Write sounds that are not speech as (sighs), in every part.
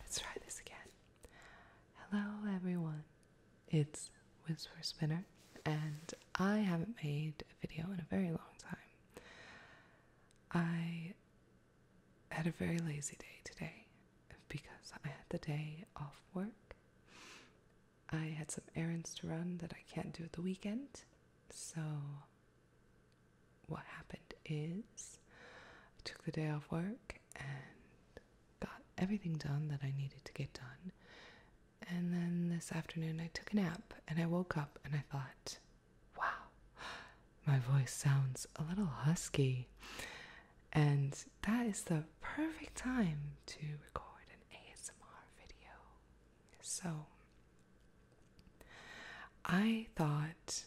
Let's try this again. Hello, everyone. It's Whisper Spinner, and I haven't made a video in a very long time. I had a very lazy day today because I had the day off work. I had some errands to run that I can't do at the weekend, so what happened is I took the day off work and got everything done that I needed to get done. And then this afternoon I took a nap and I woke up and I thought, wow, my voice sounds a little husky. And that is the perfect time to record an ASMR video. So I thought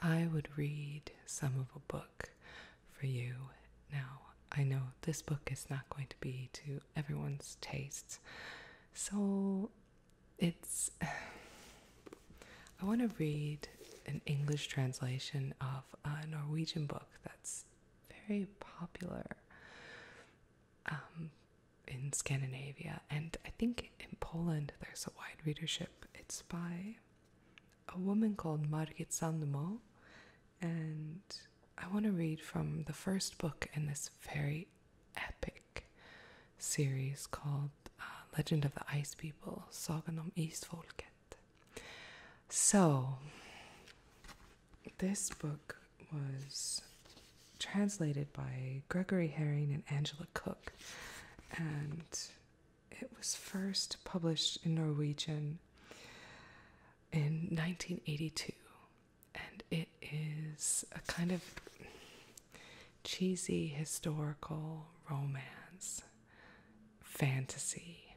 I would read some of a book for you. Now, I know this book is not going to be to everyone's tastes, so it's. (sighs) I want to read an English translation of a Norwegian book that's very popular um, in Scandinavia, and I think in Poland there's a wide readership. It's by a woman called Margit Sandemo, and I want to read from the first book in this very epic series called uh, Legend of the Ice People, Sagan om Isfolket. So, this book was translated by Gregory Herring and Angela Cook, and it was first published in Norwegian in 1982, and it is a kind of cheesy historical romance fantasy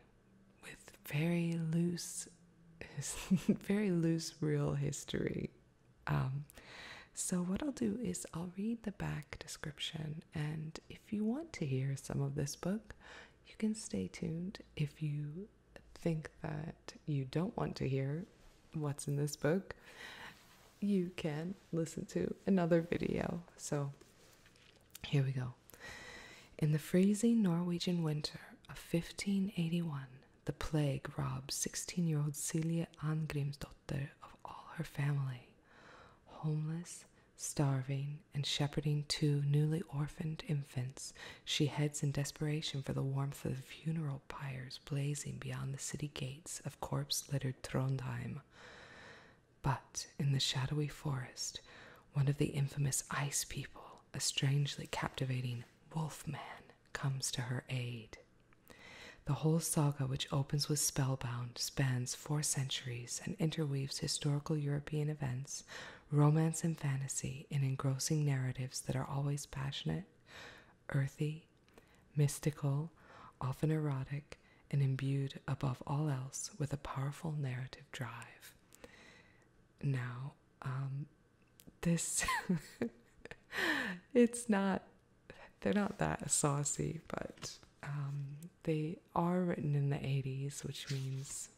with very loose, (laughs) very loose real history. Um, so, what I'll do is I'll read the back description and if you want to hear some of this book, you can stay tuned. If you think that you don't want to hear what's in this book, you can listen to another video. So here we go. In the freezing Norwegian winter of 1581, the plague robbed 16 year old Celia Angrimsdotter of all her family. Homeless, starving, and shepherding two newly orphaned infants, she heads in desperation for the warmth of the funeral pyres blazing beyond the city gates of corpse littered Trondheim. But in the shadowy forest, one of the infamous ice people, a strangely captivating wolf man, comes to her aid. The whole saga, which opens with Spellbound, spans four centuries and interweaves historical European events, romance, and fantasy in engrossing narratives that are always passionate, earthy, mystical, often erotic, and imbued above all else with a powerful narrative drive. Now, um, this, (laughs) it's not, they're not that saucy, but um, they are written in the 80s, which means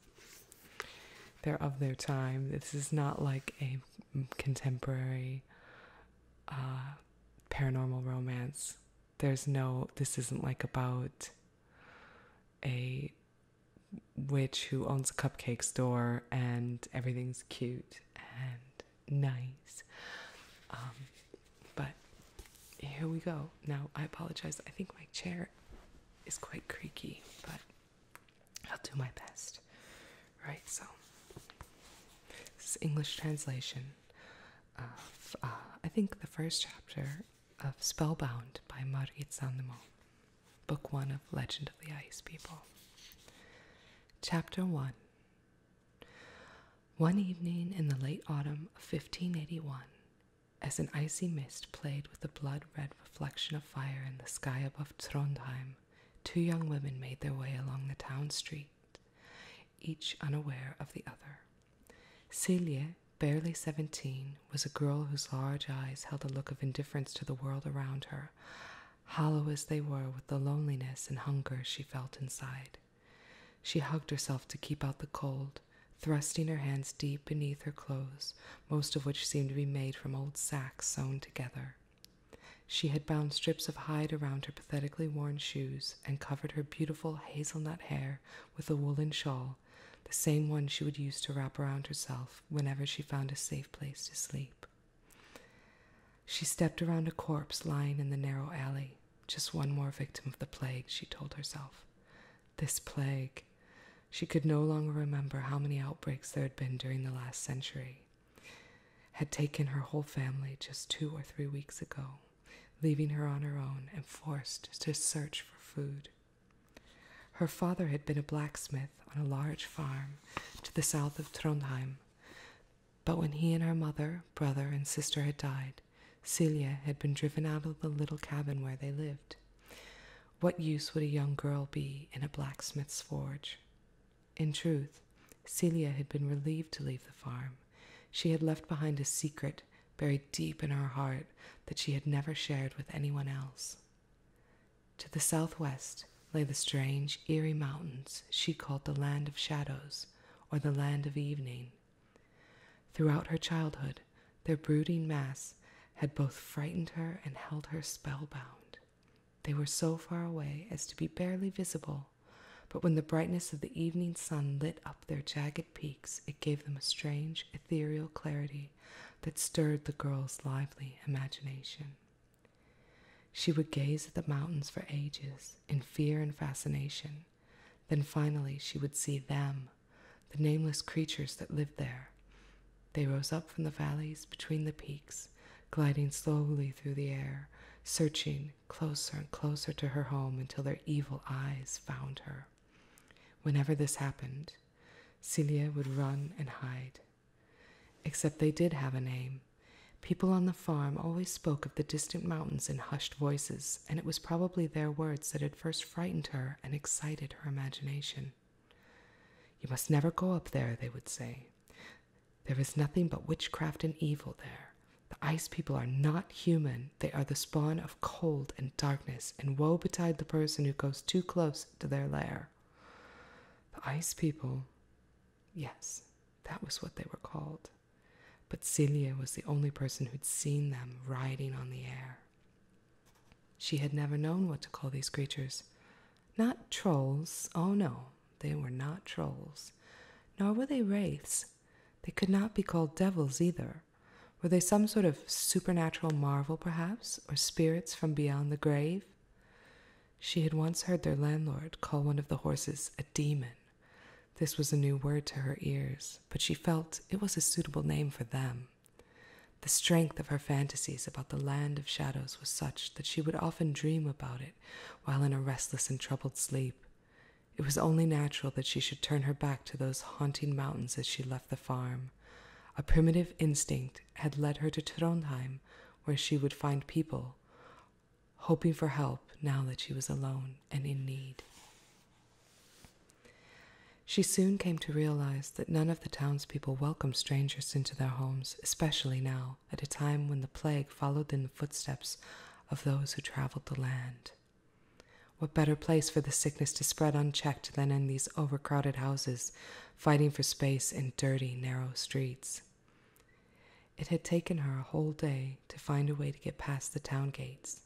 they're of their time. This is not like a contemporary uh, paranormal romance. There's no, this isn't like about a witch who owns a cupcake store and everything's cute and nice. Um, but here we go. Now, I apologize. I think my chair is quite creaky, but I'll do my best. Right, so this is English translation of, uh, I think, the first chapter of Spellbound by Marit Sandemo, Book 1 of Legend of the Ice People. Chapter 1 one evening in the late autumn of 1581, as an icy mist played with the blood red reflection of fire in the sky above Trondheim, two young women made their way along the town street, each unaware of the other. Celia, barely seventeen, was a girl whose large eyes held a look of indifference to the world around her, hollow as they were with the loneliness and hunger she felt inside. She hugged herself to keep out the cold, thrusting her hands deep beneath her clothes, most of which seemed to be made from old sacks sewn together. She had bound strips of hide around her pathetically worn shoes and covered her beautiful hazelnut hair with a woolen shawl, the same one she would use to wrap around herself whenever she found a safe place to sleep. She stepped around a corpse lying in the narrow alley. Just one more victim of the plague, she told herself. This plague. She could no longer remember how many outbreaks there had been during the last century. Had taken her whole family just two or three weeks ago, leaving her on her own and forced to search for food. Her father had been a blacksmith on a large farm to the south of Trondheim, but when he and her mother, brother, and sister had died, Celia had been driven out of the little cabin where they lived. What use would a young girl be in a blacksmith's forge? In truth, Celia had been relieved to leave the farm. She had left behind a secret buried deep in her heart that she had never shared with anyone else. To the southwest lay the strange, eerie mountains she called the Land of Shadows or the Land of Evening. Throughout her childhood, their brooding mass had both frightened her and held her spellbound. They were so far away as to be barely visible, but when the brightness of the evening sun lit up their jagged peaks, it gave them a strange, ethereal clarity that stirred the girl's lively imagination. She would gaze at the mountains for ages in fear and fascination, then finally she would see them, the nameless creatures that lived there. They rose up from the valleys between the peaks, gliding slowly through the air, searching closer and closer to her home until their evil eyes found her. Whenever this happened, Celia would run and hide. Except they did have a name. People on the farm always spoke of the distant mountains in hushed voices, and it was probably their words that had first frightened her and excited her imagination. You must never go up there, they would say. There is nothing but witchcraft and evil there. The ice people are not human. They are the spawn of cold and darkness, and woe betide the person who goes too close to their lair. The ice people, yes, that was what they were called. But Celia was the only person who'd seen them riding on the air. She had never known what to call these creatures. Not trolls, oh no, they were not trolls, nor were they wraiths. They could not be called devils either. Were they some sort of supernatural marvel, perhaps, or spirits from beyond the grave? She had once heard their landlord call one of the horses a demon. This was a new word to her ears but she felt it was a suitable name for them. The strength of her fantasies about the land of shadows was such that she would often dream about it while in a restless and troubled sleep. It was only natural that she should turn her back to those haunting mountains as she left the farm. A primitive instinct had led her to Trondhjem, where she would find people, hoping for help now that she was alone and in need. She soon came to realize that none of the townspeople welcomed strangers into their homes, especially now, at a time when the plague followed in the footsteps of those who traveled the land. What better place for the sickness to spread unchecked than in these overcrowded houses, fighting for space in dirty, narrow streets? It had taken her a whole day to find a way to get past the town gates.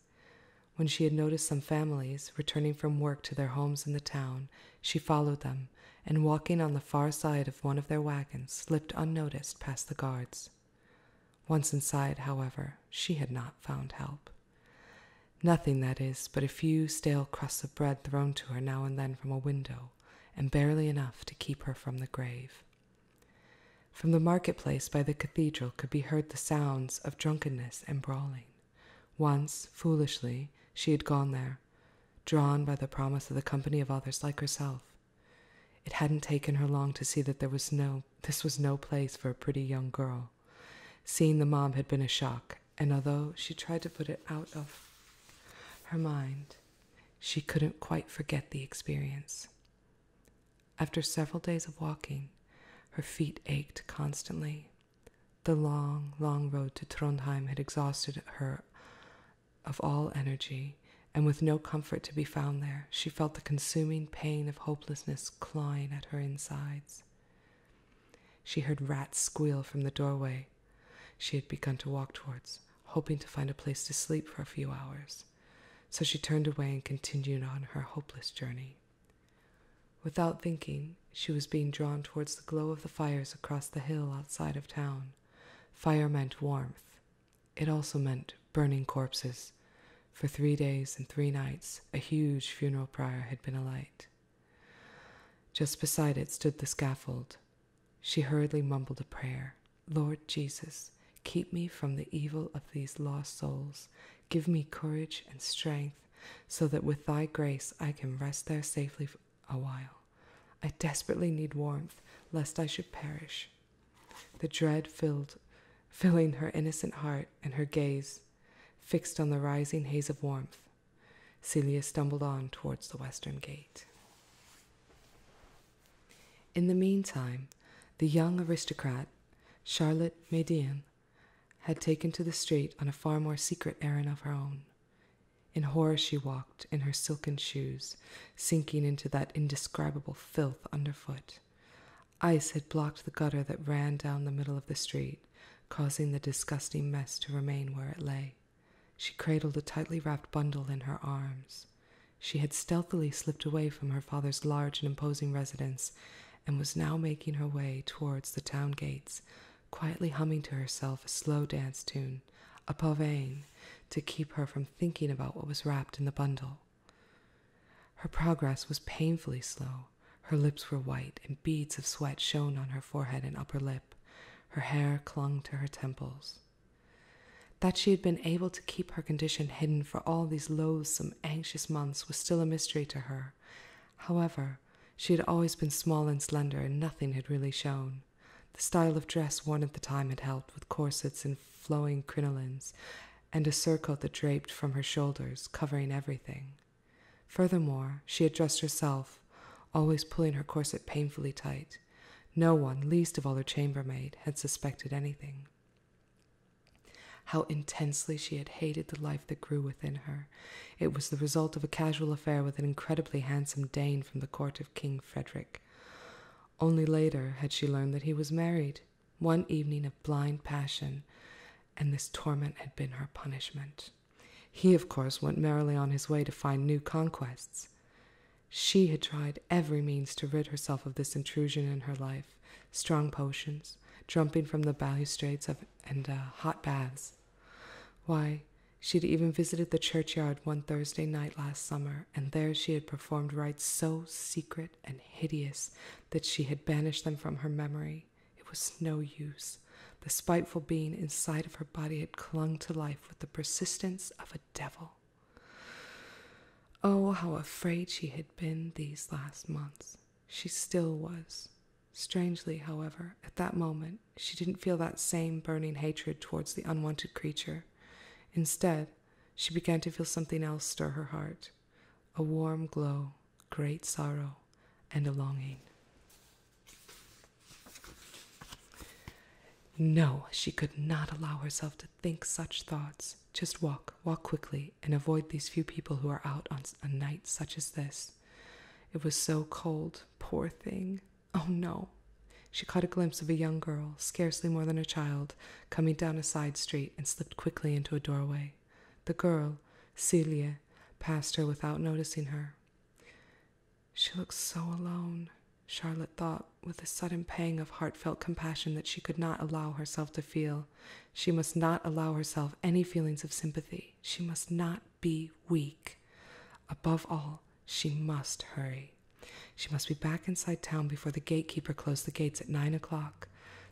When she had noticed some families returning from work to their homes in the town, she followed them and, walking on the far side of one of their wagons, slipped unnoticed past the guards. Once inside, however, she had not found help. Nothing, that is, but a few stale crusts of bread thrown to her now and then from a window, and barely enough to keep her from the grave. From the market Place by the cathedral could be heard the sounds of drunkenness and brawling. Once, foolishly, she had gone there, drawn by the promise of the company of others like herself. It hadn't taken her long to see that there was no this was no place for a pretty young girl. Seeing the mob had been a shock, and although she tried to put it out of her mind, she couldn't quite forget the experience. After several days of walking, her feet ached constantly. The long, long road to Trondheim had exhausted her of all energy, and with no comfort to be found there, she felt the consuming pain of hopelessness clawing at her insides. She heard rats squeal from the doorway she had begun to walk towards, hoping to find a place to sleep for a few hours. So she turned away and continued on her hopeless journey. Without thinking, she was being drawn towards the glow of the fires across the hill outside of town. Fire meant warmth. It also meant burning corpses. For three days and three nights, a huge funeral pyre had been alight. Just beside it stood the scaffold. She hurriedly mumbled a prayer Lord Jesus, keep me from the evil of these lost souls Give me courage and strength, so that with thy grace I can rest there safely a while. I desperately need warmth, lest I should perish. The dread filled, filling her innocent heart and her gaze fixed on the rising haze of warmth. Celia stumbled on towards the western gate. In the meantime, the young aristocrat, Charlotte Médean, had taken to the street on a far more secret errand of her own. In horror she walked in her silken shoes, sinking into that indescribable filth underfoot. Ice had blocked the gutter that ran down the middle of the street, causing the disgusting mess to remain where it lay. She cradled a tightly wrapped bundle in her arms. She had stealthily slipped away from her father's large and imposing residence and was now making her way towards the town gates, quietly humming to herself a slow dance tune, a pavane, to keep her from thinking about what was wrapped in the bundle. Her progress was painfully slow. Her lips were white, and beads of sweat shone on her forehead and upper lip. Her hair clung to her temples. That she had been able to keep her condition hidden for all these loathsome, anxious months was still a mystery to her. However, she had always been small and slender, and nothing had really shown. The style of dress worn at the time had held, with corsets and flowing crinolines, and a surcoat that draped from her shoulders, covering everything. Furthermore, she had dressed herself, always pulling her corset painfully tight. No one, least of all her chambermaid, had suspected anything. How intensely she had hated the life that grew within her. It was the result of a casual affair with an incredibly handsome Dane from the court of King Frederick. Only later had she learned that he was married, one evening of blind passion, and this torment had been her punishment. He, of course, went merrily on his way to find new conquests. She had tried every means to rid herself of this intrusion in her life strong potions, jumping from the balustrades of and uh, hot baths. Why, she had even visited the churchyard one Thursday night last summer, and there she had performed rites so secret and hideous that she had banished them from her memory. It was no use. The spiteful being inside of her body had clung to life with the persistence of a devil. Oh, how afraid she had been these last months. She still was. Strangely, however, at that moment, she didn't feel that same burning hatred towards the unwanted creature. Instead, she began to feel something else stir her heart a warm glow, great sorrow, and a longing. No, she could not allow herself to think such thoughts. Just walk, walk quickly, and avoid these few people who are out on a night such as this. It was so cold, poor thing. Oh no! She caught a glimpse of a young girl, scarcely more than a child, coming down a side street and slipped quickly into a doorway. The girl, Celia, passed her without noticing her. She looks so alone, Charlotte thought, with a sudden pang of heartfelt compassion that she could not allow herself to feel. She must not allow herself any feelings of sympathy. She must not be weak. Above all, she must hurry. She must be back inside town before the gatekeeper closed the gates at nine o'clock.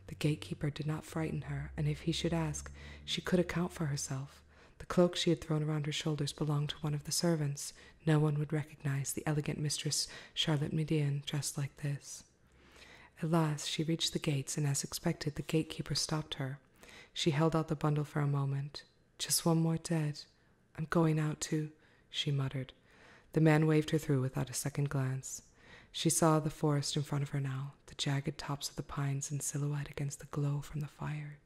The gatekeeper did not frighten her, and if he should ask, she could account for herself. The cloak she had thrown around her shoulders belonged to one of the servants. No one would recognize the elegant mistress Charlotte Medean dressed like this. At last she reached the gates, and as expected, the gatekeeper stopped her. She held out the bundle for a moment. Just one more dead. I'm going out too, she muttered. The man waved her through without a second glance. She saw the forest in front of her now, the jagged tops of the pines in silhouette against the glow from the fire.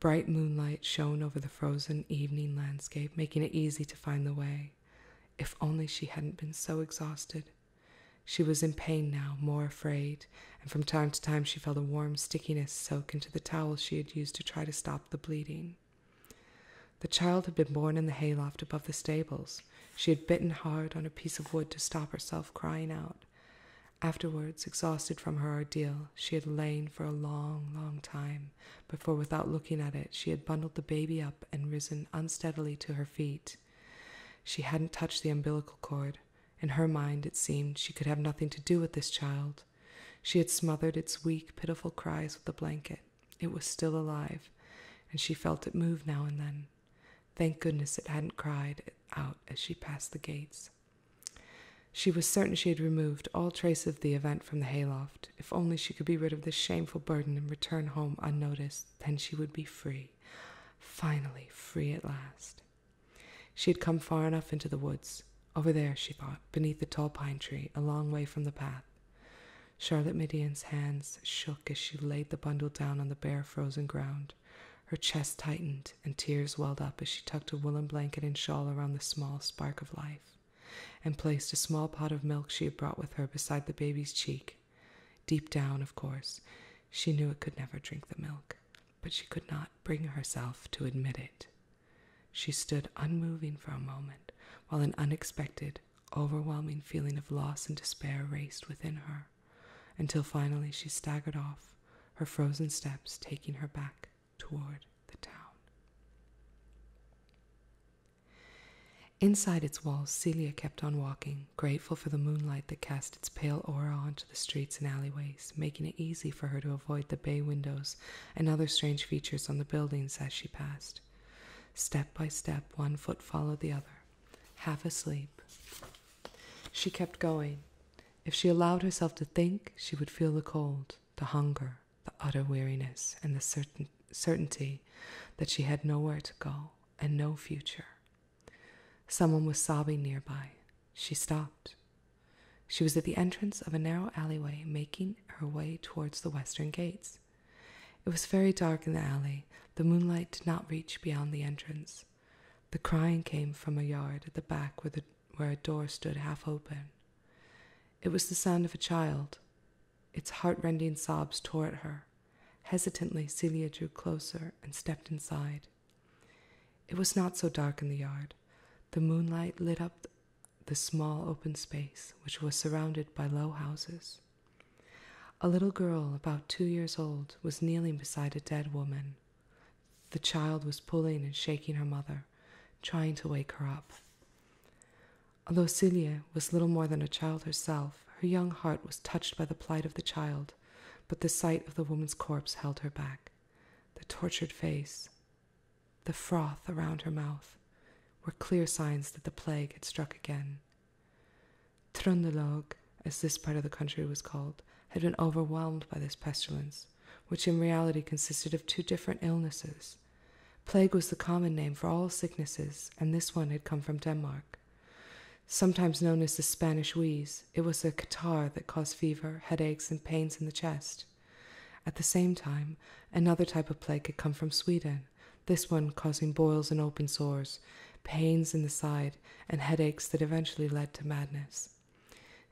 Bright moonlight shone over the frozen evening landscape, making it easy to find the way. If only she hadn't been so exhausted. She was in pain now, more afraid, and from time to time she felt a warm stickiness soak into the towel she had used to try to stop the bleeding. The child had been born in the hayloft above the stables. She had bitten hard on a piece of wood to stop herself crying out. Afterwards, exhausted from her ordeal, she had lain for a long, long time before, without looking at it, she had bundled the baby up and risen unsteadily to her feet. She hadn't touched the umbilical cord. In her mind, it seemed, she could have nothing to do with this child. She had smothered its weak, pitiful cries with a blanket. It was still alive, and she felt it move now and then. Thank goodness it hadn't cried out as she passed the gates. She was certain she had removed all trace of the event from the hayloft. If only she could be rid of this shameful burden and return home unnoticed, then she would be free finally free at last. She had come far enough into the woods. Over there, she thought, beneath the tall pine tree, a long way from the path. Charlotte Midian's hands shook as she laid the bundle down on the bare frozen ground. Her chest tightened, and tears welled up as she tucked a woolen blanket and shawl around the small spark of life, and placed a small pot of milk she had brought with her beside the baby's cheek Deep down, of course, she knew it could never drink the milk, but she could not bring herself to admit it. She stood unmoving for a moment while an unexpected, overwhelming feeling of loss and despair raced within her, until finally she staggered off, her frozen steps taking her back toward the town. Inside its walls, Celia kept on walking, grateful for the moonlight that cast its pale aura onto the streets and alleyways, making it easy for her to avoid the bay windows and other strange features on the buildings as she passed. Step by step, one foot followed the other, half asleep. She kept going. If she allowed herself to think, she would feel the cold, the hunger, the utter weariness, and the certain certainty that she had nowhere to go and no future, Someone was sobbing nearby. She stopped. She was at the entrance of a narrow alleyway, making her way towards the western gates. It was very dark in the alley. The moonlight did not reach beyond the entrance. The crying came from a yard at the back where, where a door stood half open. It was the sound of a child. Its heartrending sobs tore at her. Hesitantly, Celia drew closer and stepped inside. It was not so dark in the yard. The moonlight lit up the small open space, which was surrounded by low houses. A little girl, about two years old, was kneeling beside a dead woman. The child was pulling and shaking her mother, trying to wake her up. Although Celia was little more than a child herself, her young heart was touched by the plight of the child but the sight of the woman's corpse held her back. The tortured face, the froth around her mouth, were clear signs that the plague had struck again. Trøndelag, as this part of the country was called, had been overwhelmed by this pestilence, which in reality consisted of two different illnesses. Plague was the common name for all sicknesses, and this one had come from Denmark. Sometimes known as the Spanish wheeze, it was a catarrh that caused fever, headaches, and pains in the chest. At the same time, another type of plague had come from Sweden, this one causing boils and open sores, pains in the side, and headaches that eventually led to madness.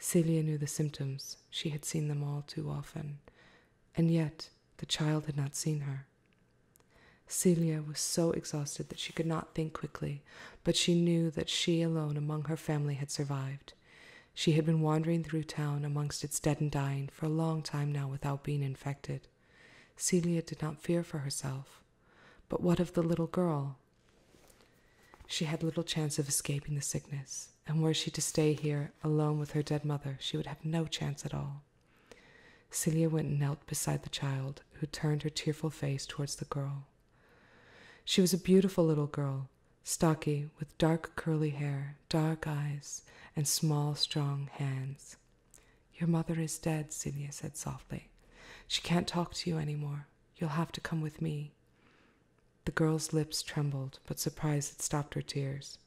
Celia knew the symptoms. She had seen them all too often. And yet, the child had not seen her. Celia was so exhausted that she could not think quickly, but she knew that she alone among her family had survived. She had been wandering through town amongst its dead and dying for a long time now without being infected. Celia did not fear for herself. But what of the little girl? She had little chance of escaping the sickness, and were she to stay here alone with her dead mother, she would have no chance at all. Celia went and knelt beside the child, who turned her tearful face towards the girl. She was a beautiful little girl, stocky, with dark curly hair, dark eyes, and small, strong hands. Your mother is dead, Celia said softly. She can't talk to you any more. You'll have to come with me. The girl's lips trembled, but surprise had stopped her tears.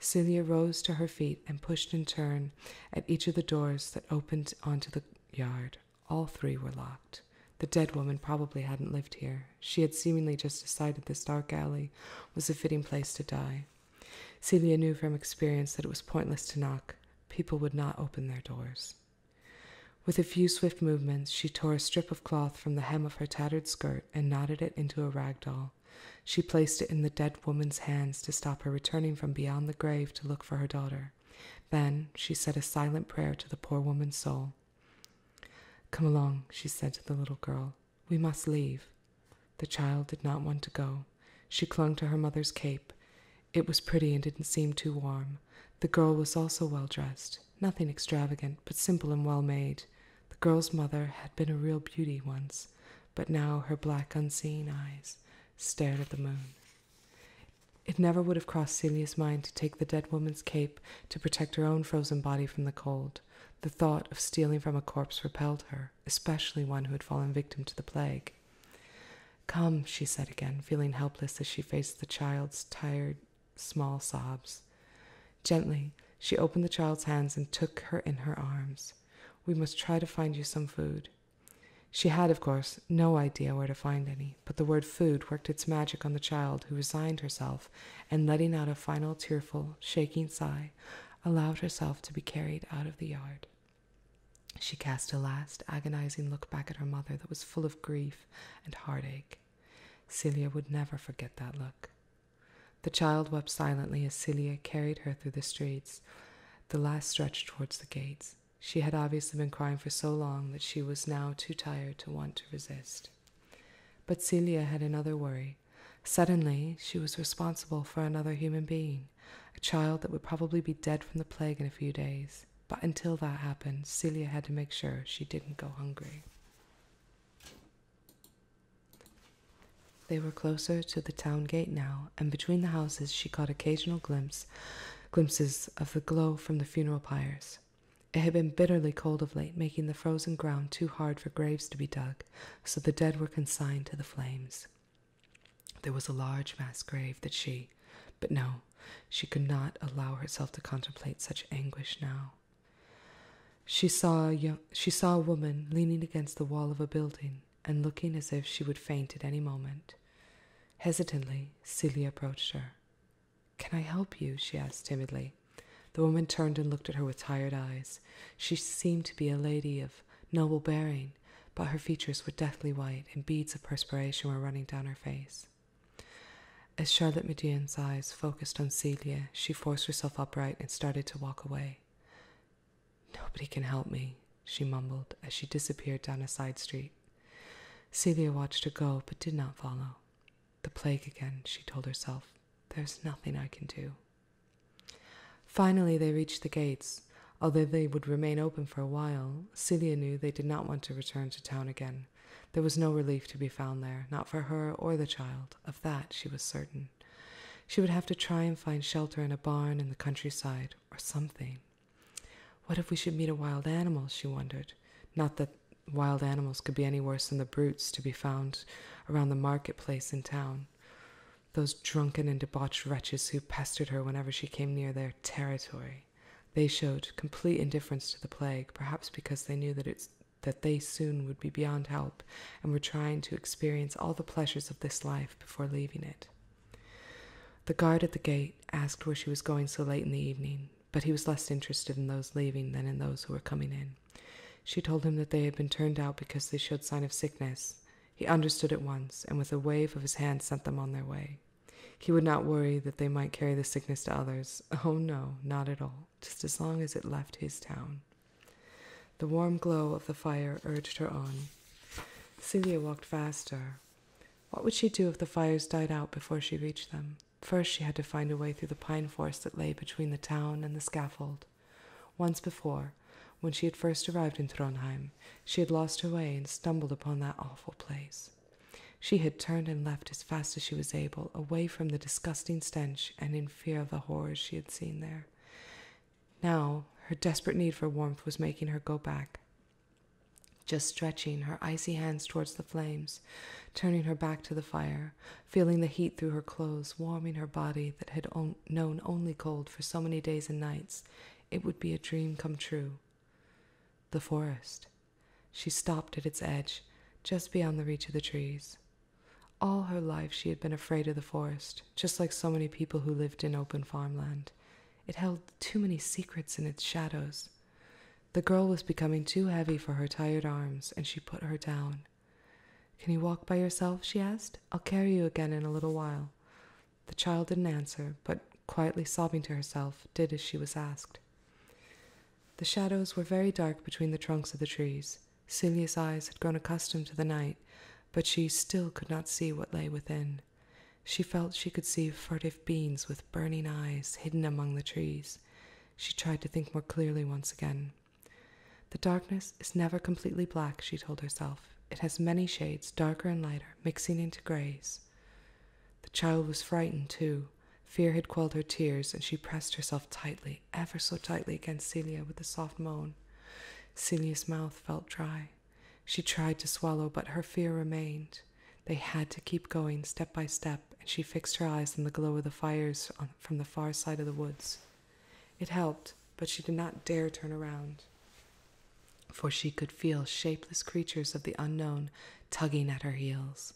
Celia rose to her feet and pushed in turn at each of the doors that opened onto the yard. All three were locked. The dead woman probably hadn't lived here. She had seemingly just decided this dark alley was a fitting place to die. Celia knew from experience that it was pointless to knock. People would not open their doors. With a few swift movements, she tore a strip of cloth from the hem of her tattered skirt and knotted it into a rag doll. She placed it in the dead woman's hands to stop her returning from beyond the grave to look for her daughter. Then she said a silent prayer to the poor woman's soul. Come along, she said to the little girl. We must leave. The child did not want to go. She clung to her mother's cape. It was pretty and didn't seem too warm. The girl was also well dressed, nothing extravagant, but simple and well made. The girl's mother had been a real beauty once, but now her black, unseeing eyes stared at the moon. It never would have crossed Celia's mind to take the dead woman's cape to protect her own frozen body from the cold. The thought of stealing from a corpse repelled her, especially one who had fallen victim to the plague. Come, she said again, feeling helpless as she faced the child's tired, small sobs. Gently, she opened the child's hands and took her in her arms. We must try to find you some food. She had, of course, no idea where to find any, but the word food worked its magic on the child, who resigned herself and, letting out a final tearful, shaking sigh, allowed herself to be carried out of the yard. She cast a last agonizing look back at her mother that was full of grief and heartache. Celia would never forget that look. The child wept silently as Celia carried her through the streets, the last stretch towards the gates. She had obviously been crying for so long that she was now too tired to want to resist. But Celia had another worry. Suddenly, she was responsible for another human being, a child that would probably be dead from the plague in a few days. But until that happened, Celia had to make sure she didn't go hungry. They were closer to the town gate now, and between the houses she caught occasional glimpses glimpses of the glow from the funeral pyres. It had been bitterly cold of late, making the frozen ground too hard for graves to be dug, so the dead were consigned to the flames. There was a large mass grave that she, but no, she could not allow herself to contemplate such anguish now. She saw a young, she saw a woman leaning against the wall of a building and looking as if she would faint at any moment. Hesitantly, Celia approached her. Can I help you? she asked timidly. The woman turned and looked at her with tired eyes. She seemed to be a lady of noble bearing, but her features were deathly white and beads of perspiration were running down her face. As Charlotte Medion's eyes focused on Celia, she forced herself upright and started to walk away. Nobody can help me, she mumbled as she disappeared down a side street. Celia watched her go but did not follow. The plague again, she told herself. There's nothing I can do. Finally, they reached the gates. Although they would remain open for a while, Celia knew they did not want to return to town again. There was no relief to be found there, not for her or the child. Of that she was certain. She would have to try and find shelter in a barn in the countryside or something. What if we should meet a wild animal? she wondered. Not that wild animals could be any worse than the brutes to be found around the market place in town. Those drunken and debauched wretches who pestered her whenever she came near their territory. They showed complete indifference to the plague, perhaps because they knew that it's that they soon would be beyond help and were trying to experience all the pleasures of this life before leaving it. The guard at the gate asked where she was going so late in the evening, but he was less interested in those leaving than in those who were coming in. She told him that they had been turned out because they showed signs of sickness. He understood at once, and with a wave of his hand sent them on their way. He would not worry that they might carry the sickness to others. Oh no, not at all, just as long as it left his town. The warm glow of the fire urged her on. Celia walked faster, what would she do if the fires died out before she reached them? First, she had to find a way through the pine forest that lay between the town and the scaffold. Once before, when she had first arrived in Trondheim, she had lost her way and stumbled upon that awful place. She had turned and left as fast as she was able, away from the disgusting stench and in fear of the horrors she had seen there. Now, her desperate need for warmth was making her go back, just stretching her icy hands towards the flames, turning her back to the fire, feeling the heat through her clothes, warming her body that had known only cold for so many days and nights, it would be a dream come true. The forest. She stopped at its edge, just beyond the reach of the trees. All her life she had been afraid of the forest, just like so many people who lived in open farmland. It held too many secrets in its shadows. The girl was becoming too heavy for her tired arms, and she put her down. Can you walk by yourself? she asked. I'll carry you again in a little while. The child didn't answer, but quietly sobbing to herself, did as she was asked. The shadows were very dark between the trunks of the trees. Celia's eyes had grown accustomed to the night, but she still could not see what lay within. She felt she could see furtive beings with burning eyes hidden among the trees. She tried to think more clearly once again. The darkness is never completely black, she told herself. It has many shades, darker and lighter, mixing into grays. The child was frightened, too. Fear had quelled her tears, and she pressed herself tightly, ever so tightly, against Celia with a soft moan. Celia's mouth felt dry. She tried to swallow, but her fear remained. They had to keep going step by step, and she fixed her eyes on the glow of the fires from the far side of the woods. It helped, but she did not dare turn around, for she could feel shapeless creatures of the unknown tugging at her heels.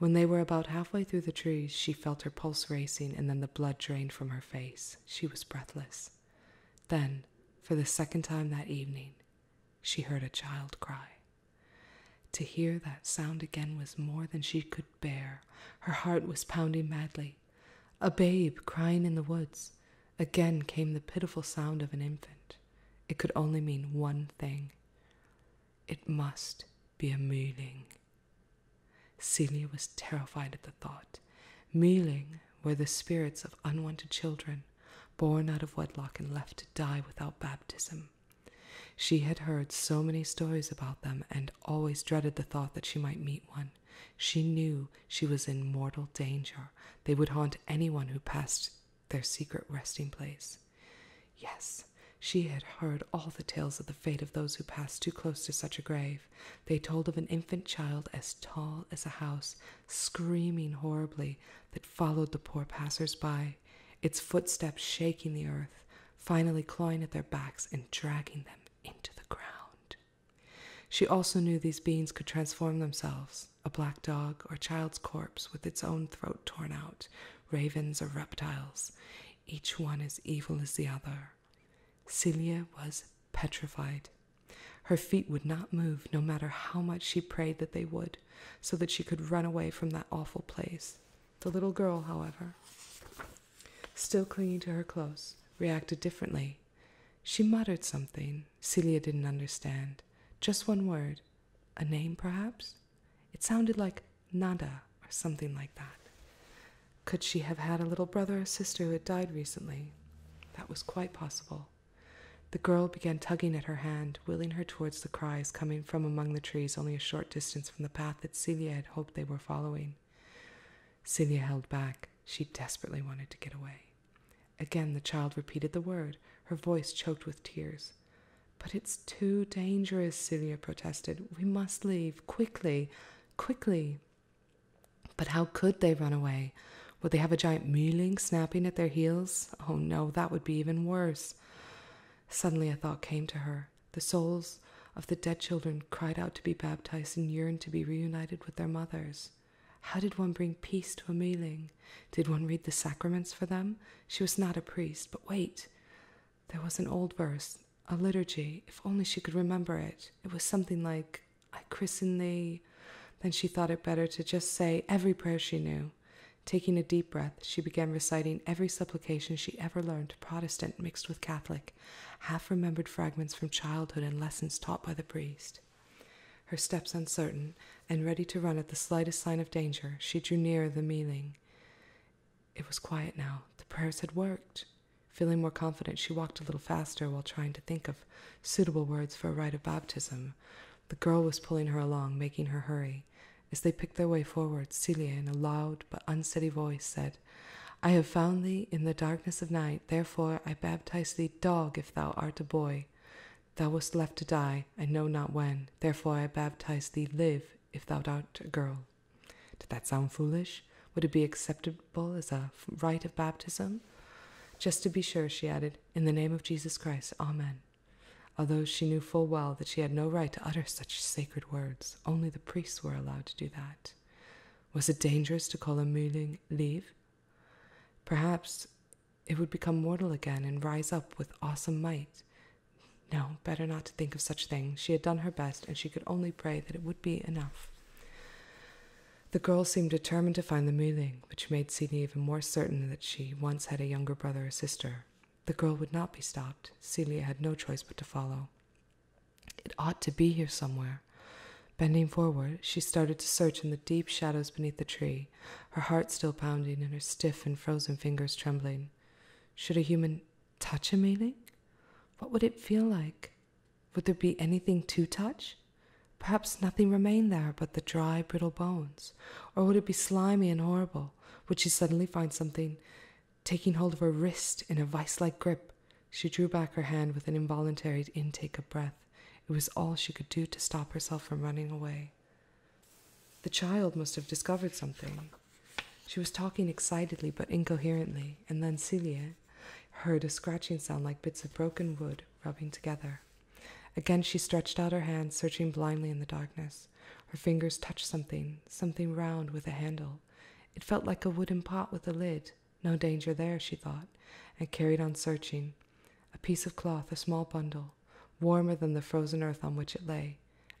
When they were about halfway through the trees, she felt her pulse racing, and then the blood drained from her face. She was breathless. Then, for the second time that evening, she heard a child cry. To hear that sound again was more than she could bear. Her heart was pounding madly. A babe crying in the woods. Again came the pitiful sound of an infant. It could only mean one thing. It must be a Mühling. Celia was terrified at the thought. Mühling were the spirits of unwanted children, born out of wedlock and left to die without baptism. She had heard so many stories about them and always dreaded the thought that she might meet one. She knew she was in mortal danger. They would haunt anyone who passed their secret resting place. Yes, she had heard all the tales of the fate of those who passed too close to such a grave. They told of an infant child as tall as a house screaming horribly, that followed the poor passers by, its footsteps shaking the earth, finally clawing at their backs and dragging them into the ground. She also knew these beings could transform themselves a black dog or child's corpse with its own throat torn out, ravens or reptiles. Each one as evil as the other. Celia was petrified. Her feet would not move, no matter how much she prayed that they would so that she could run away from that awful place. The little girl, however, still clinging to her clothes, reacted differently. She muttered something Celia didn't understand. Just one word. A name, perhaps? It sounded like Nada or something like that. Could she have had a little brother or sister who had died recently? That was quite possible. The girl began tugging at her hand, willing her towards the cries coming from among the trees only a short distance from the path that Celia had hoped they were following. Celia held back. She desperately wanted to get away. Again the child repeated the word, her voice choked with tears. But it's too dangerous, Celia protested. We must leave quickly, quickly. But how could they run away? Would they have a giant mewling snapping at their heels? Oh no, that would be even worse. Suddenly a thought came to her. The souls of the dead children cried out to be baptized and yearned to be reunited with their mothers. How did one bring peace to a mewling? Did one read the sacraments for them? She was not a priest, but wait. There was an old verse, a liturgy, if only she could remember it. It was something like, I christen thee. Then she thought it better to just say every prayer she knew. Taking a deep breath, she began reciting every supplication she ever learned, Protestant mixed with Catholic, half remembered fragments from childhood and lessons taught by the priest. Her steps uncertain, and ready to run at the slightest sign of danger, she drew nearer the mealing. It was quiet now. The prayers had worked. Feeling more confident, she walked a little faster while trying to think of suitable words for a rite of baptism. The girl was pulling her along, making her hurry. As they picked their way forward, Celia, in a loud but unsteady voice, said, I have found thee in the darkness of night, therefore I baptize thee dog if thou art a boy. Thou wast left to die, I know not when, therefore I baptize thee live if thou art a girl. Did that sound foolish? Would it be acceptable as a rite of baptism? Just to be sure, she added, in the name of Jesus Christ, Amen although she knew full well that she had no right to utter such sacred words, only the priests were allowed to do that. Was it dangerous to call a Muling leave? Perhaps it would become mortal again and rise up with awesome might. No, better not to think of such things. She had done her best, and she could only pray that it would be enough. The girl seemed determined to find the Mule, which made Sidney even more certain that she once had a younger brother or sister. The girl would not be stopped. Celia had no choice but to follow. It ought to be here somewhere. Bending forward, she started to search in the deep shadows beneath the tree, her heart still pounding and her stiff and frozen fingers trembling. Should a human touch a Meiling? What would it feel like? Would there be anything to touch? Perhaps nothing remained there but the dry, brittle bones. Or would it be slimy and horrible? Would she suddenly find something taking hold of her wrist in a vice like grip? She drew back her hand with an involuntary intake of breath. It was all she could do to stop herself from running away. The child must have discovered something. She was talking excitedly but incoherently, and then Celia heard a scratching sound like bits of broken wood rubbing together. Again, she stretched out her hands, searching blindly in the darkness. Her fingers touched something, something round with a handle. It felt like a wooden pot with a lid. No danger there, she thought, and carried on searching. A piece of cloth, a small bundle, warmer than the frozen earth on which it lay.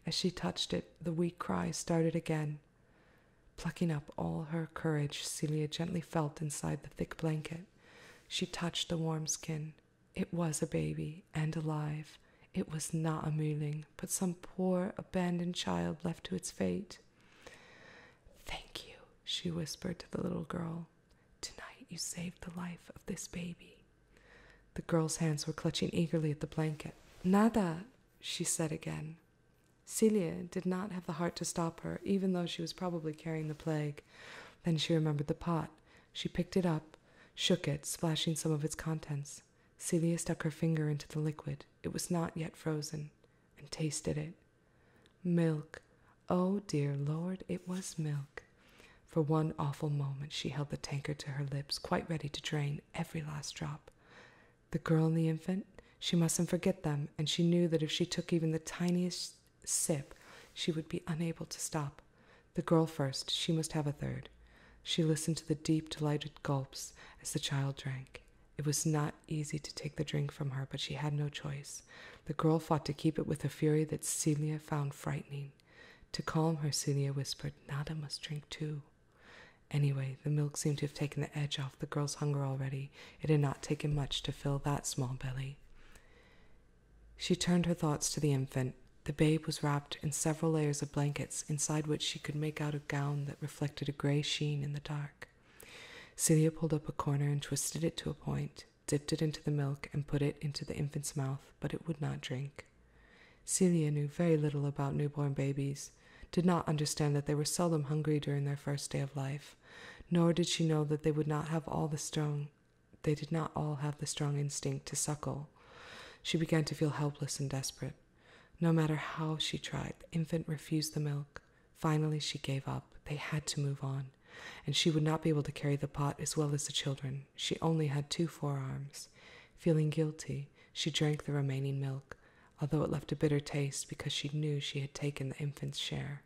As she touched it, the weak cry started again. Plucking up all her courage, Celia gently felt inside the thick blanket. She touched the warm skin. It was a baby, and alive. It was not a Muling, but some poor, abandoned child left to its fate. Thank you, she whispered to the little girl. Tonight you saved the life of this baby. The girl's hands were clutching eagerly at the blanket. Nada, she said again. Celia did not have the heart to stop her, even though she was probably carrying the plague. Then she remembered the pot. She picked it up, shook it, splashing some of its contents. Celia stuck her finger into the liquid. It was not yet frozen, and tasted it. Milk. Oh, dear Lord, it was milk. For one awful moment, she held the tankard to her lips, quite ready to drain every last drop. The girl and the infant, she mustn't forget them, and she knew that if she took even the tiniest sip, she would be unable to stop. The girl first, she must have a third. She listened to the deep, delighted gulps as the child drank. It was not easy to take the drink from her, but she had no choice. The girl fought to keep it with a fury that Celia found frightening. To calm her, Celia whispered, Nada must drink too. Anyway, the milk seemed to have taken the edge off the girl's hunger already. It had not taken much to fill that small belly. She turned her thoughts to the infant. The babe was wrapped in several layers of blankets, inside which she could make out a gown that reflected a gray sheen in the dark. Celia pulled up a corner and twisted it to a point, dipped it into the milk, and put it into the infant's mouth, but it would not drink. Celia knew very little about newborn babies, did not understand that they were seldom hungry during their first day of life, nor did she know that they would not have all the strong they did not all have the strong instinct to suckle. She began to feel helpless and desperate. No matter how she tried, the infant refused the milk. Finally, she gave up. They had to move on, and she would not be able to carry the pot as well as the children. She only had two forearms. Feeling guilty, she drank the remaining milk, although it left a bitter taste because she knew she had taken the infant's share.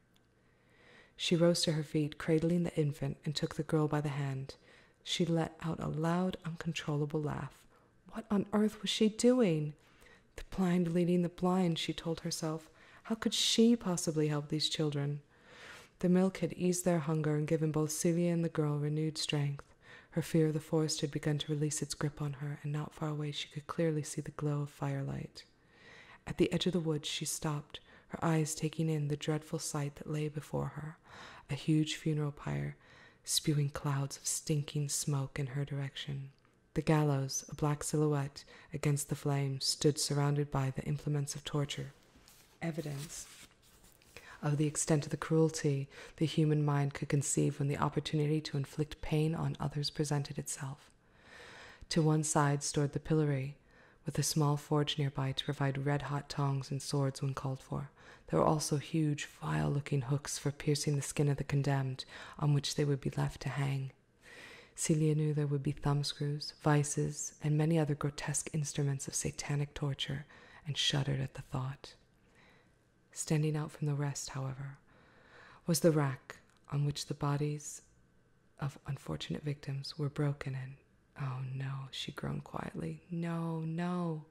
She rose to her feet, cradling the infant, and took the girl by the hand. She let out a loud, uncontrollable laugh. What on earth was she doing? The blind leading the blind, she told herself. How could she possibly help these children? The milk had eased their hunger and given both Celia and the girl renewed strength. Her fear of the forest had begun to release its grip on her, and not far away she could clearly see the glow of firelight. At the edge of the woods, she stopped, her eyes taking in the dreadful sight that lay before her a huge funeral pyre spewing clouds of stinking smoke in her direction. The gallows, a black silhouette against the flames, stood surrounded by the implements of torture. Evidence of the extent of the cruelty the human mind could conceive when the opportunity to inflict pain on others presented itself. To one side stood the pillory, with a small forge nearby to provide red hot tongs and swords when called for. There were also huge, vile looking hooks for piercing the skin of the condemned, on which they would be left to hang. Celia knew there would be thumbscrews, vices, and many other grotesque instruments of satanic torture, and shuddered at the thought. Standing out from the rest, however, was the rack on which the bodies of unfortunate victims were broken in. Oh no, she groaned quietly. No, no.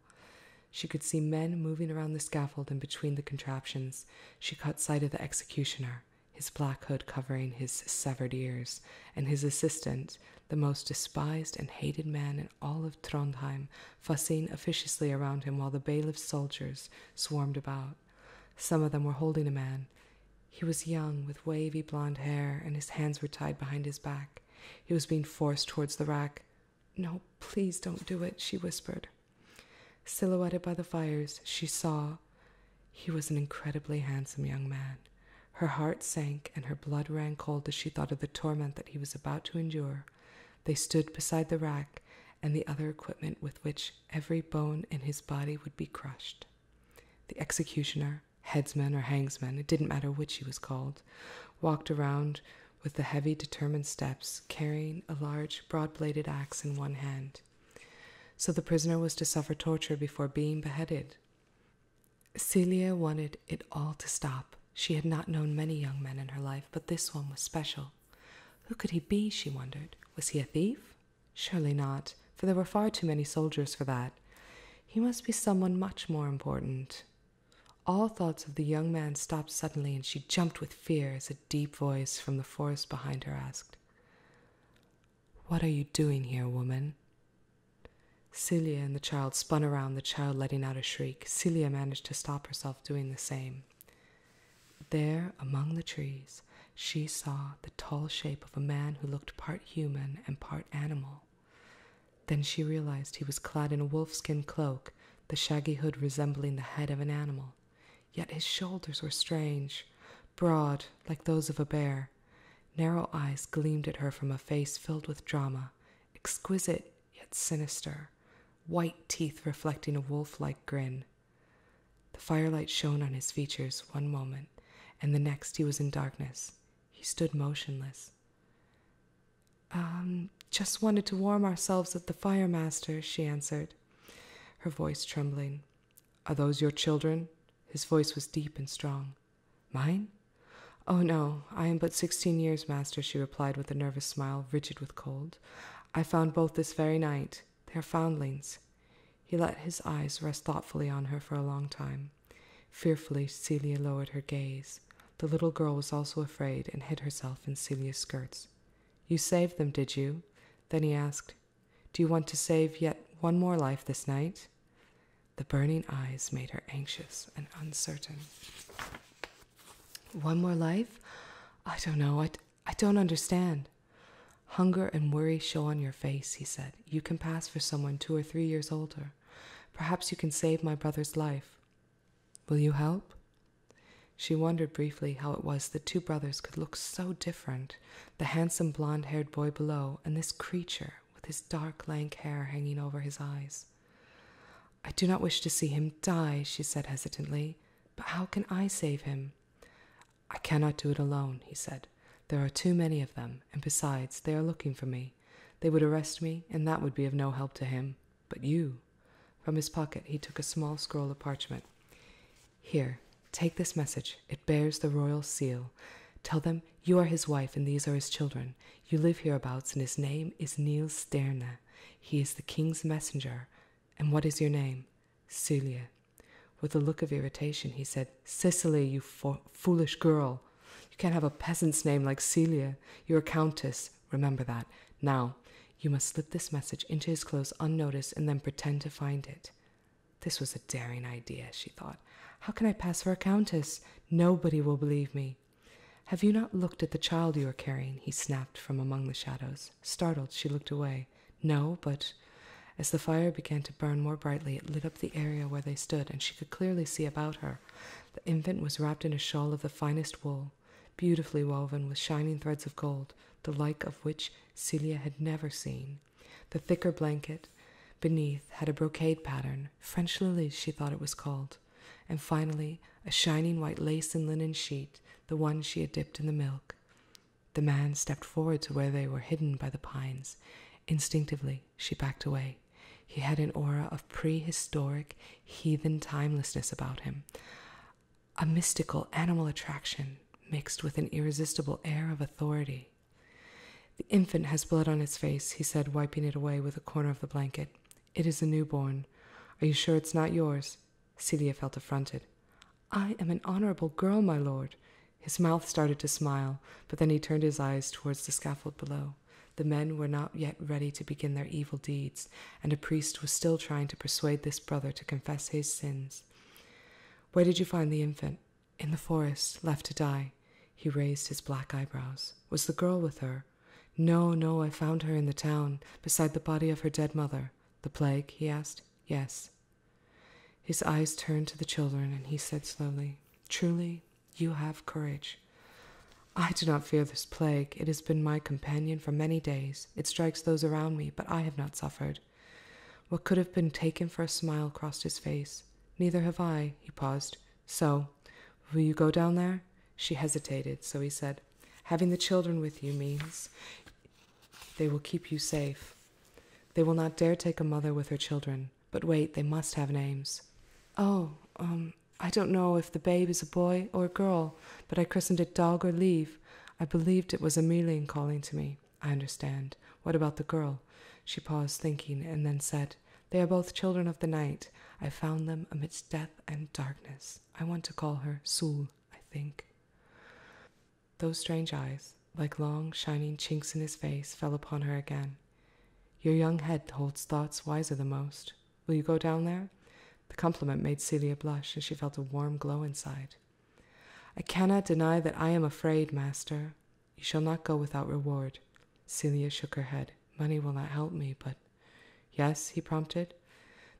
She could see men moving around the scaffold and between the contraptions. She caught sight of the executioner, his black hood covering his severed ears, and his assistant, the most despised and hated man in all of Trondheim, fussing officiously around him while the bailiff's soldiers swarmed about. Some of them were holding a man. He was young, with wavy blond hair, and his hands were tied behind his back. He was being forced towards the rack. No, please don't do it, she whispered. Silhouetted by the fires, she saw he was an incredibly handsome young man. Her heart sank and her blood ran cold as she thought of the torment that he was about to endure. They stood beside the rack and the other equipment with which every bone in his body would be crushed. The executioner or headsman or hangsman, it didn't matter which he was called, walked around with the heavy, determined steps, carrying a large, broad bladed axe in one hand. So the prisoner was to suffer torture before being beheaded. Celia wanted it all to stop. She had not known many young men in her life, but this one was special. Who could he be? she wondered. Was he a thief? Surely not, for there were far too many soldiers for that. He must be someone much more important. All thoughts of the young man stopped suddenly, and she jumped with fear as a deep voice from the forest behind her asked, What are you doing here, woman? Celia and the child spun around, the child letting out a shriek. Celia managed to stop herself doing the same. There, among the trees, she saw the tall shape of a man who looked part human and part animal. Then she realized he was clad in a wolfskin cloak, the shaggy hood resembling the head of an animal. Yet his shoulders were strange, broad like those of a bear. Narrow eyes gleamed at her from a face filled with drama, exquisite yet sinister, white teeth reflecting a wolf like grin. The firelight shone on his features one moment, and the next he was in darkness. He stood motionless, um, just wanted to warm ourselves at the fire, master, she answered, her voice trembling. Are those your children? His voice was deep and strong. Mine? Oh, no, I am but sixteen years, master, she replied with a nervous smile, rigid with cold. I found both this very night. They are foundlings. He let his eyes rest thoughtfully on her for a long time. Fearfully, Celia lowered her gaze. The little girl was also afraid and hid herself in Celia's skirts. You saved them, did you? Then he asked, Do you want to save yet one more life this night? The burning eyes made her anxious and uncertain. One more life? I don't know. I, I don't understand. Hunger and worry show on your face, he said. You can pass for someone two or three years older. Perhaps you can save my brother's life. Will you help? She wondered briefly how it was that two brothers could look so different the handsome blond haired boy below, and this creature with his dark lank hair hanging over his eyes. I do not wish to see him die, she said hesitantly, but how can I save him? I cannot do it alone, he said. There are too many of them, and besides, they are looking for me. They would arrest me, and that would be of no help to him. But you. From his pocket he took a small scroll of parchment. Here, take this message. It bears the royal seal. Tell them you are his wife and these are his children. You live hereabouts, and his name is Niels Sterne. He is the king's messenger. And what is your name? Celia. With a look of irritation, he said, Cicely, you foolish girl. You can't have a peasant's name like Celia. You're a countess. Remember that. Now, you must slip this message into his clothes unnoticed and then pretend to find it. This was a daring idea, she thought. How can I pass for a countess? Nobody will believe me. Have you not looked at the child you are carrying? he snapped from among the shadows. Startled, she looked away. No, but as the fire began to burn more brightly, it lit up the area where they stood, and she could clearly see about her the infant was wrapped in a shawl of the finest wool, beautifully woven with shining threads of gold, the like of which Celia had never seen. The thicker blanket beneath had a brocade pattern, French lilies she thought it was called, and finally a shining white lace and linen sheet, the one she had dipped in the milk. The man stepped forward to where they were hidden by the pines. Instinctively, she backed away. He had an aura of prehistoric, heathen timelessness about him, a mystical animal attraction mixed with an irresistible air of authority. The infant has blood on its face, he said, wiping it away with a corner of the blanket. It is a newborn. Are you sure it's not yours? Celia felt affronted. I am an honorable girl, my lord. His mouth started to smile, but then he turned his eyes towards the scaffold below. The men were not yet ready to begin their evil deeds, and a priest was still trying to persuade this brother to confess his sins. Where did you find the infant? In the forest, left to die. He raised his black eyebrows. Was the girl with her? No, no, I found her in the town, beside the body of her dead mother. The plague? he asked. Yes. His eyes turned to the children, and he said slowly, Truly, you have courage. I do not fear this plague. It has been my companion for many days. It strikes those around me, but I have not suffered. What could have been taken for a smile crossed his face. Neither have I, he paused. So, will you go down there? She hesitated, so he said, Having the children with you means they will keep you safe. They will not dare take a mother with her children. But wait, they must have names. Oh, um, I don't know if the babe is a boy or a girl, but I christened it Dog or Leave. I believed it was Emelian calling to me. I understand. What about the girl? She paused, thinking, and then said, They are both children of the night. I found them amidst death and darkness. I want to call her Soul. I think. Those strange eyes, like long, shining chinks in his face, fell upon her again. Your young head holds thoughts wiser than most. Will you go down there? The compliment made Celia blush as she felt a warm glow inside. I cannot deny that I am afraid, master. You shall not go without reward. Celia shook her head. Money will not help me, but. Yes, he prompted.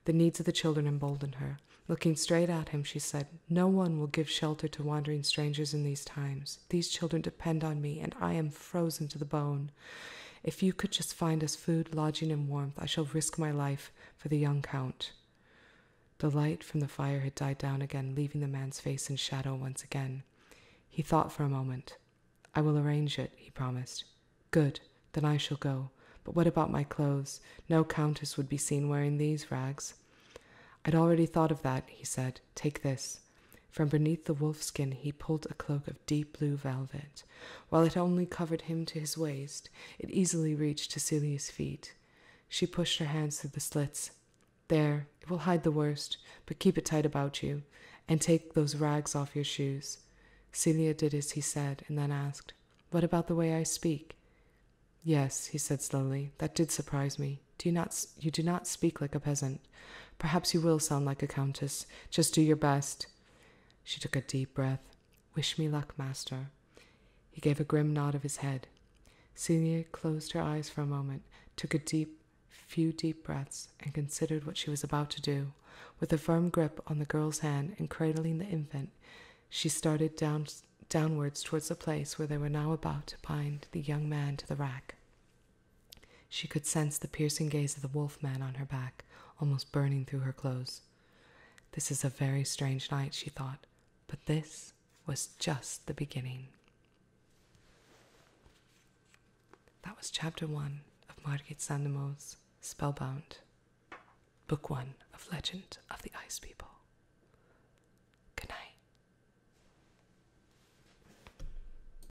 The needs of the children emboldened her. Looking straight at him, she said, No one will give shelter to wandering strangers in these times. These children depend on me, and I am frozen to the bone. If you could just find us food, lodging, and warmth, I shall risk my life for the young count. The light from the fire had died down again, leaving the man's face in shadow once again. He thought for a moment. I will arrange it, he promised. Good, then I shall go. But what about my clothes? No countess would be seen wearing these rags. I'd already thought of that, he said. Take this. From beneath the wolf skin, he pulled a cloak of deep blue velvet. While it only covered him to his waist, it easily reached to Celia's feet. She pushed her hands through the slits. There, it will hide the worst, but keep it tight about you, and take those rags off your shoes. Celia did as he said, and then asked, What about the way I speak? Yes, he said slowly, that did surprise me. Do you not you do not speak like a peasant? Perhaps you will sound like a countess. Just do your best. She took a deep breath. Wish me luck, master. He gave a grim nod of his head. Celia closed her eyes for a moment, took a deep, few deep breaths, and considered what she was about to do. With a firm grip on the girl's hand and cradling the infant, she started down, downwards towards the place where they were now about to bind the young man to the rack. She could sense the piercing gaze of the wolf man on her back, almost burning through her clothes. This is a very strange night, she thought, but this was just the beginning. That was chapter one of Margit Sandemo's Spellbound, book one of Legend of the Ice People. Good night.